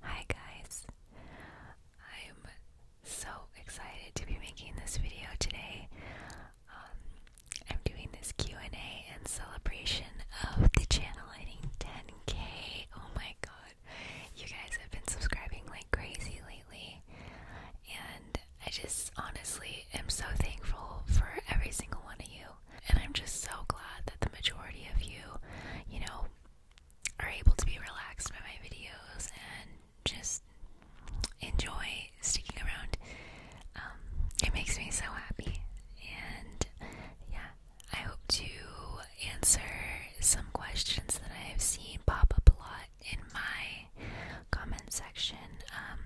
Hi guys, I'm so excited to be making this video today. Um, I'm doing this Q&A and celebration of the channel hitting 10k. Oh my god, you guys have been subscribing like crazy lately, and I just honestly am so thankful for every single one of you. And I'm just so glad that the majority of you, you know, are able to be relaxed by my videos and just enjoy sticking around. Um, it makes me so happy. And yeah, I hope to answer some questions that I have seen pop up a lot in my comment section. Um,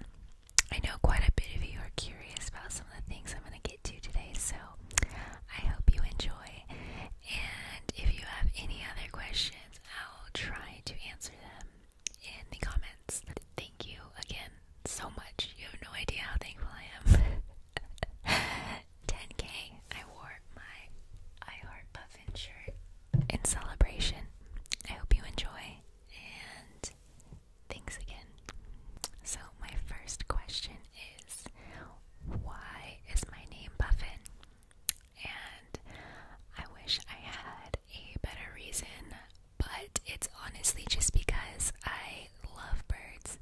I know quite a bit of you are curious about some of the things I'm going to get to today, so I hope you enjoy. And if you have any other questions, I'll try to answer them in the comments. Thank you again so much. You have no idea how thankful I am. 10k. I wore my I Heart Puffin shirt in celebration. I hope you enjoy and thanks again. So, my first question is why is my name Buffin? And I wish I had a better reason, but it's honestly just because I love birds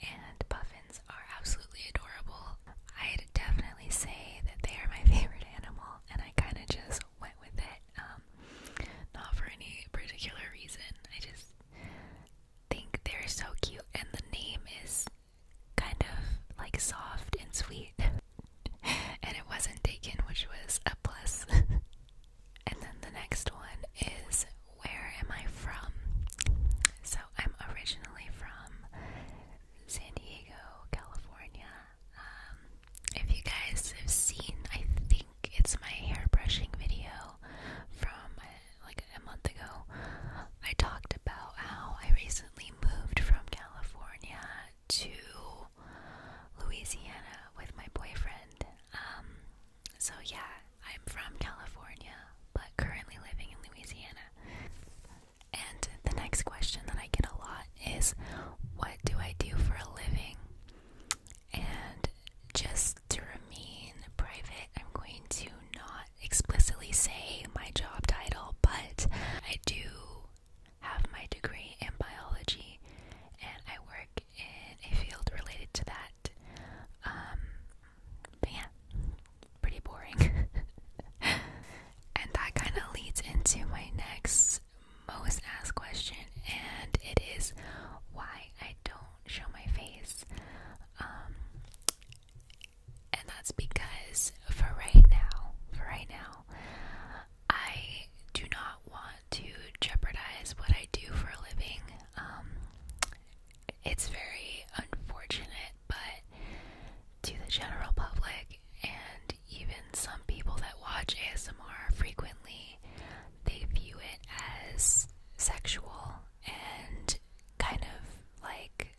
and puffins are absolutely adorable. I'd definitely say that they are my favorite animal, and I kind of just went with it, um, not for any particular reason. I just think they're so cute, and the name is kind of like soft and sweet. and it wasn't taken, which was a plus. and then the next one is Where Am I From? So I'm originally from San Diego, California. Um, if you guys have seen, I think it's my hair brushing video from like a month ago, I talked about how I recently moved from California to Louisiana with my boyfriend. Um, so yeah, I'm from California, but currently living in Louisiana. And the next question that I get a lot is, what do I do for a living? And just to remain private, I'm going to not explicitly say my job title, but I do have my degree in biology and I work in a field related to that. Um, but yeah, pretty boring. and that kind of leads into my next most asked question, and it is why I don't show my face. Um, and that's because for right now, for right now, I do not want to jeopardize what I do for a living. Um, it's very unfortunate, but to the general public and even some people that watch ASMR frequently, they view it as sexual and kind of like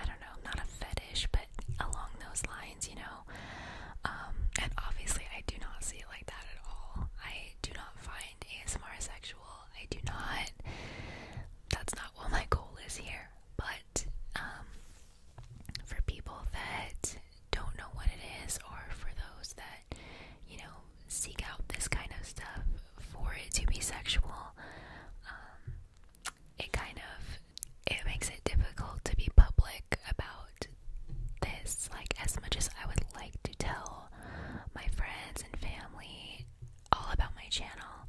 I don't know, not a fetish, but along those lines, you know. Um, and obviously, I do not see it like that at all. I do not find ASMR sexual. I do not. That's not what my goal is here. But um, for people that don't know what it is, or for those that you know seek out this kind of stuff for it to be sexual. Um, it kind of it makes it difficult to be public about this. Like as much as I would like to tell my friends and family all about my channel,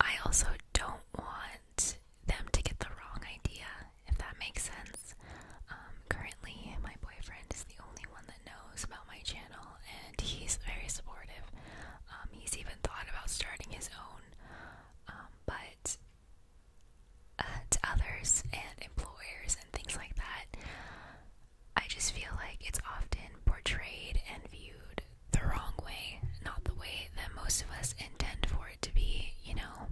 I also don't want them to get the wrong idea. If that makes sense. Um, currently, my boyfriend is the only one that knows about my channel, and he's very supportive. Um, he's even thought about starting his own, um, but uh, to others and employers and things like that, I just feel like it's often portrayed and viewed the wrong way, not the way that most of us intend for it to be, you know,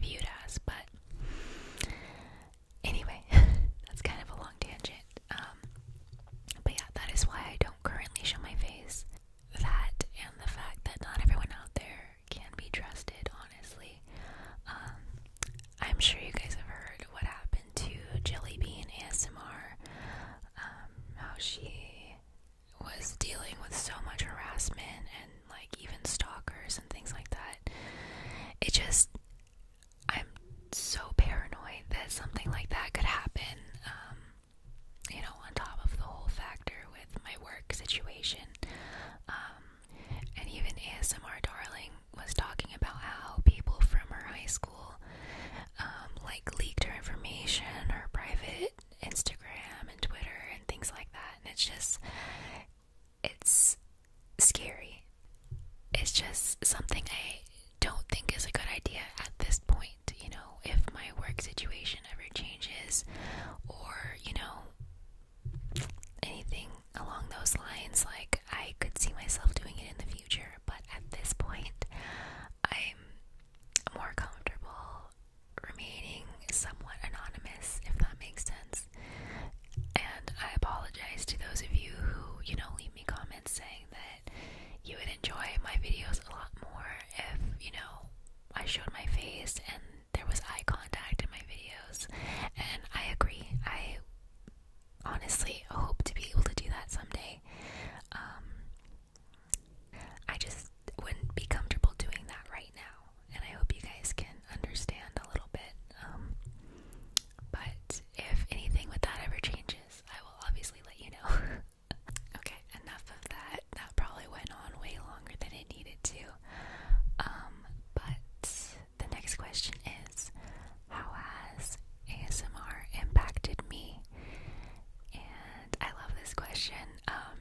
viewed as. But anyway, that's kind of a long tangent. Um, but yeah, that is why I don't currently show my face. That and the fact that not everyone out there can be trusted, honestly. Um, I'm sure you guys have heard what happened to Jelly Bean ASMR, um, how she was dealing with so much harassment and like even stalkers and things like that. It just I'm so paranoid that something like that could happen. Um, you know, on top of the whole factor with my work situation. Um, and even ASMR Darling was talking about how people from her high school um, like leaked her information, her private Instagram and Twitter and things like that. And it's just, it's scary it's just something I don't think is a good idea at this point. You know, if my work situation ever changes, or you know, anything along those lines, like I could see myself doing it in the future, but at this point, I'm more comfortable remaining somewhat anonymous, if that makes sense. And I apologize to those of you who, you know, leave me comments saying that you would enjoy my videos a lot more if, you know, I showed my face and there was eye contact in my videos. And I agree. I honestly hope to be able to do that someday. Um, I just wouldn't be comfortable doing that right now. And I hope you guys can understand a little bit. Um, but if anything with that ever changes, I will obviously let you know. okay, enough of that. That probably went on way longer than it needed to. Um, but the next question is How has ASMR impacted me? And I love this question. Um,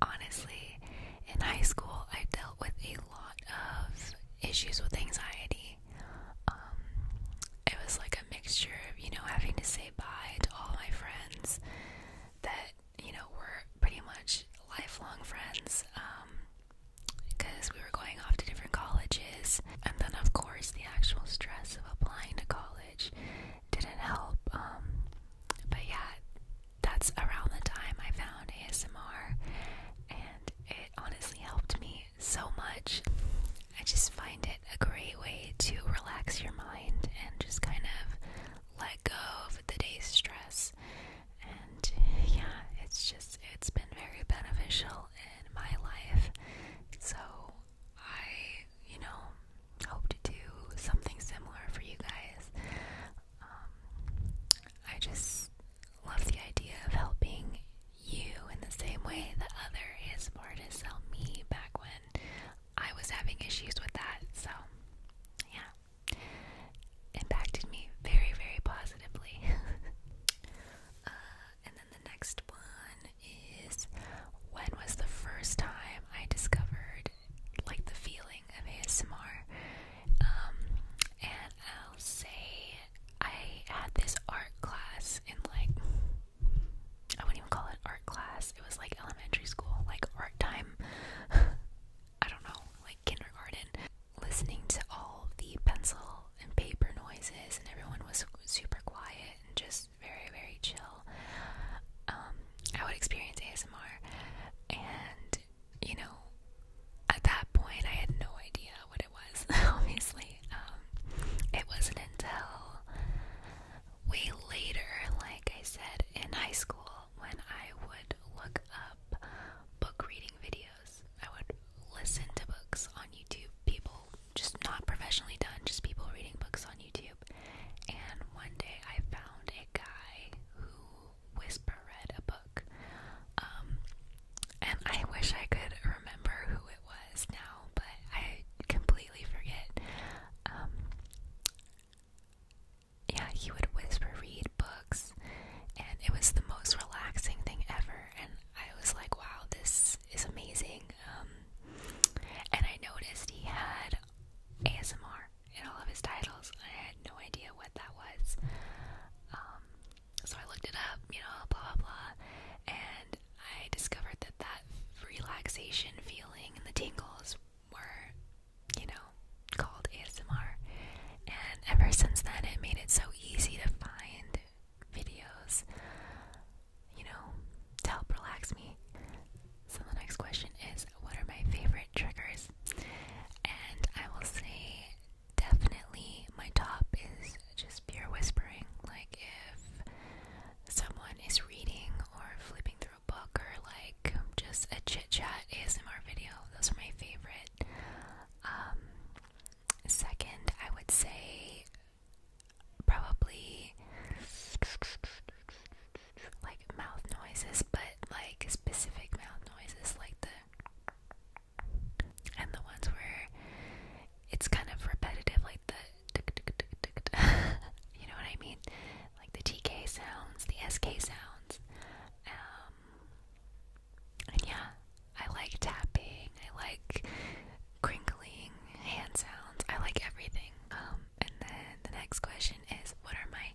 honestly, in high school, I dealt with a lot of issues with anxiety. Um, it was like a mixture of, you know, having to say bye to all my friends that, you know, were pretty much lifelong friends because um, we were going off to different colleges. And then, of course, the actual stress of applying to college didn't help. Um, but yeah, that's around the time I found ASMR, and it honestly helped me so much. I just find it a great way to relax your mind and just kind of let go of the day's stress. And yeah, it's just, it's been very beneficial in my life. So I, you know, hope to do something similar for you guys. Um, I just love the idea of helping you in the same way the other is for to sell me back when I was having issues with that. So, yeah, impacted me very, very positively. uh, and then the next one is when was the first time I discovered like the feeling of ASMR? Um, and I'll say I had this art class in like I wouldn't even call it art class. It was like elementary school, like art time. I don't know, like kindergarten. Listening to all the pencil and paper noises, and everyone was super quiet and just very, very chill. Um, I would experience ASMR, and you know, at that point, I had no idea out what it was, obviously. Um, it wasn't until way later, like I said, in high school, when I would look up book reading videos. I would listen to books on YouTube, people just not professionally done, just people reading books on YouTube. And one day I found a guy who whisper read a book. Um, and I wish I could remember who it was now, but I completely forget. Um, yeah, he would whisper read books, and it was the most relaxing thing ever. And I was like, wow, this is amazing. Um, and I noticed he had ASMR in all of his titles. I had no idea what that was. Um, so I looked it up, you know, blah blah blah, and I discovered that that relaxation feeling and the tingles were, you know, called ASMR. And ever since then, it made it so easy to find videos, you know, to help relax me. So the next question is, what are my favorite triggers? And I will say, definitely my top is just pure whispering. Like if someone is reading or flipping through a book or like just a chit chat ASMR video, those are my favorite. Um, second, I would say probably like mouth noises, but like specific mouth noises, like the and the ones where it's kind of repetitive, like the you know what I mean, like the TK sounds, the SK sounds, um, and yeah, I like tapping, I like crinkling hand sounds, I like everything. Um, and then the next question is, what are my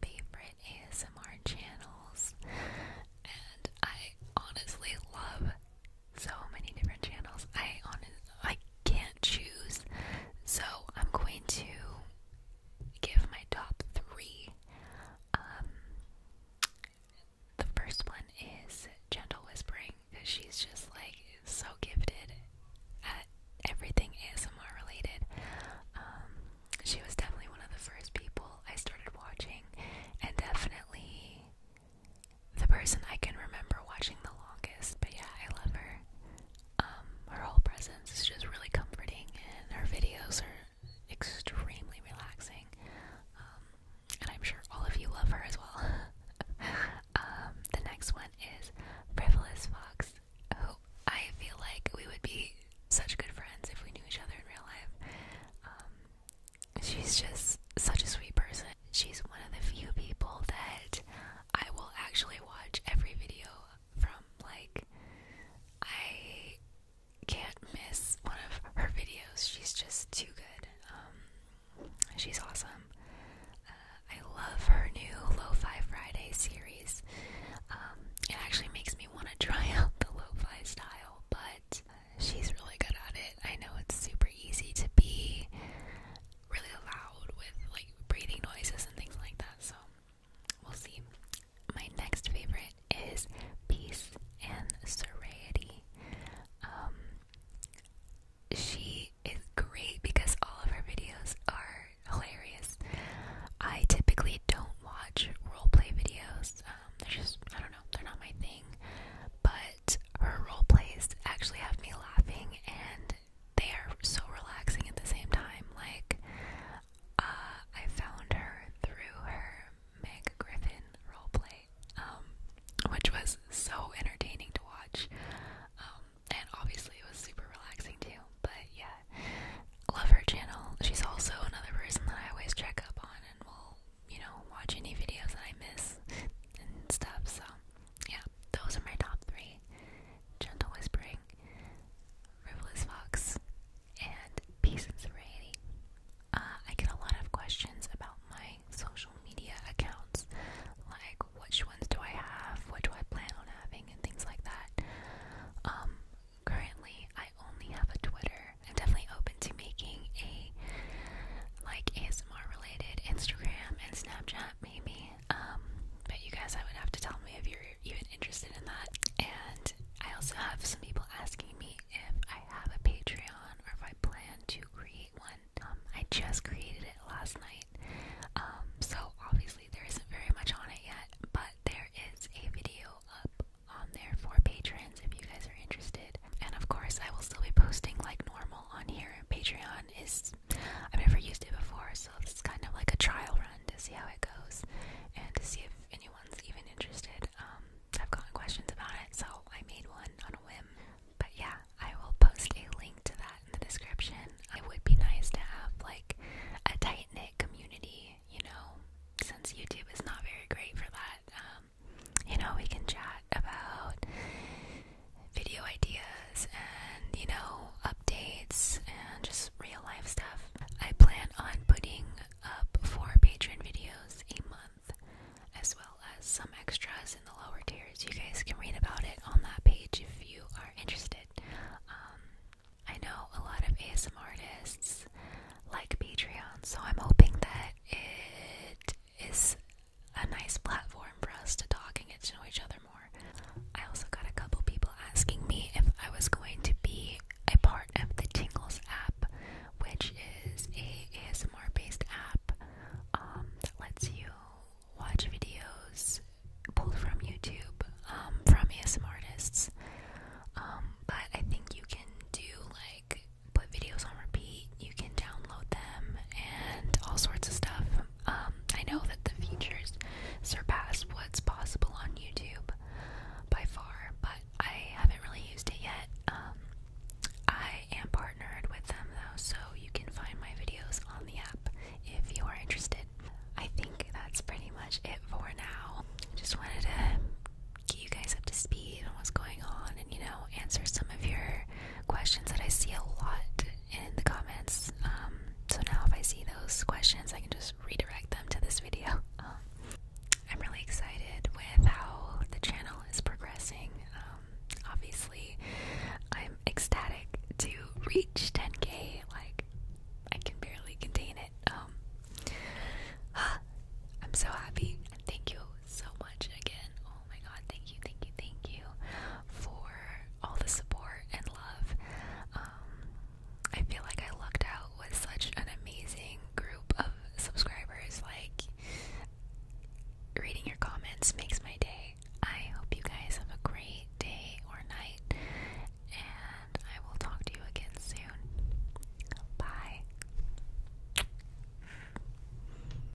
favorite ASMR channels? And I honestly love so many different channels. I honest, I can't choose. So I'm going to give my top three. Um, the first one is Gentle Whispering because she's just like so gifted at everything ASMR related. Um, she was definitely one of the first people I started watching, and definitely the person I can remember watching the longest, but yeah, I love her. Um, her whole presence is just really comforting, and her videos are extremely relaxing. Um, and I'm sure all of you love her as well. Um, the next one is Frivolous Fox, who I feel like we would be such good friends if we knew each other in real life she's just such a sweet person. She's one of the few people that I will actually watch every video from. Like, I can't miss one of her videos. She's just too good. Um, she's awesome. Uh, I love her new Lo-Fi Friday series. Um, it actually makes me want to try out the Lo-Fi style, but she's really good at it. I know it's super easy to be really loud with like breathing noises and things like that, so we'll see. My next favorite is Peace and Serenity. Um, she is great because all of her videos are hilarious. I typically don't watch roleplay videos. Um, they're just, I don't know, they're not my thing. But her role plays actually have me laughing and they are so relaxing at the same time. Like, uh, I found her through her Meg Griffin roleplay, um, which was so entertaining to watch. Um, and obviously it was super relaxing too, but yeah, love her channel. She's also another person that I always check up on and will you know, watch any videos that I miss and stuff. So, yeah, those are my top three Gentle Whispering, Frivolous Fox, and Peace and Serenity. Uh, I get a lot of questions about my social media accounts, like which ones do I have, what do I plan on having, and things like that. Um, currently, I only have a Twitter. I'm definitely open to making a like ASMR ASMR related Instagram and Snapchat maybe. Um, but you guys I would have to tell me if you're even interested in that. And I also have some people asking me if I have a Patreon or if I plan to create one. Um, I just created it last night. Um, so obviously there isn't very much on it yet, but there is a video up on there for patrons if you guys are interested. And of course, I will still be posting like normal on here. Patreon is, I've never used it before, so this is kind of like a trial run to see how it goes and to see if anyone's even interested. Um, I've gotten questions about it, so I made one on a whim. But yeah, I will post a link to that in the description. It would be nice to have like a tight knit community, you know, since YouTube is not very great for that. Um, you know, we can chat about video ideas and, you know, updates and just real life stuff. I plan on putting up four Patreon videos a month, as well as some extras in the lower tiers. You guys can read about it on that page if you are interested. Um, I know a lot of ASM artists like Patreon, so I'm hoping that it is a nice platform for us to talk and get to know each other more. I also got a couple people asking me if I was going to be a part of the Tingles app, which is a ASMR based app um, that lets you watch videos pulled from YouTube um, from ASMR artists. Um, but I think you can do like put videos on repeat. You can download them and all sorts of stuff. Um, I know that the features surpass what's possible on YouTube by far, but I haven't really used it yet. Um, I am partnered with them though, so you can find my videos on the app if you are interested. I think that's pretty much it for now. Just wanted to get you guys up to speed on what's going on and, you know, answer some of your questions that I see a lot in the comments. Um, so now, if I see those questions, I can just redirect them to this video. Um, I'm really excited with how the channel is progressing. Um, obviously, I'm ecstatic to reach 10k. Like, I can barely contain it. I'm so happy. Thank you so much again. Oh my god, thank you, thank you, thank you for all the support and love. Um, I feel like I lucked out with such an amazing group of subscribers. Like, reading your comments makes my day. I hope you guys have a great day or night, and I will talk to you again soon. Bye.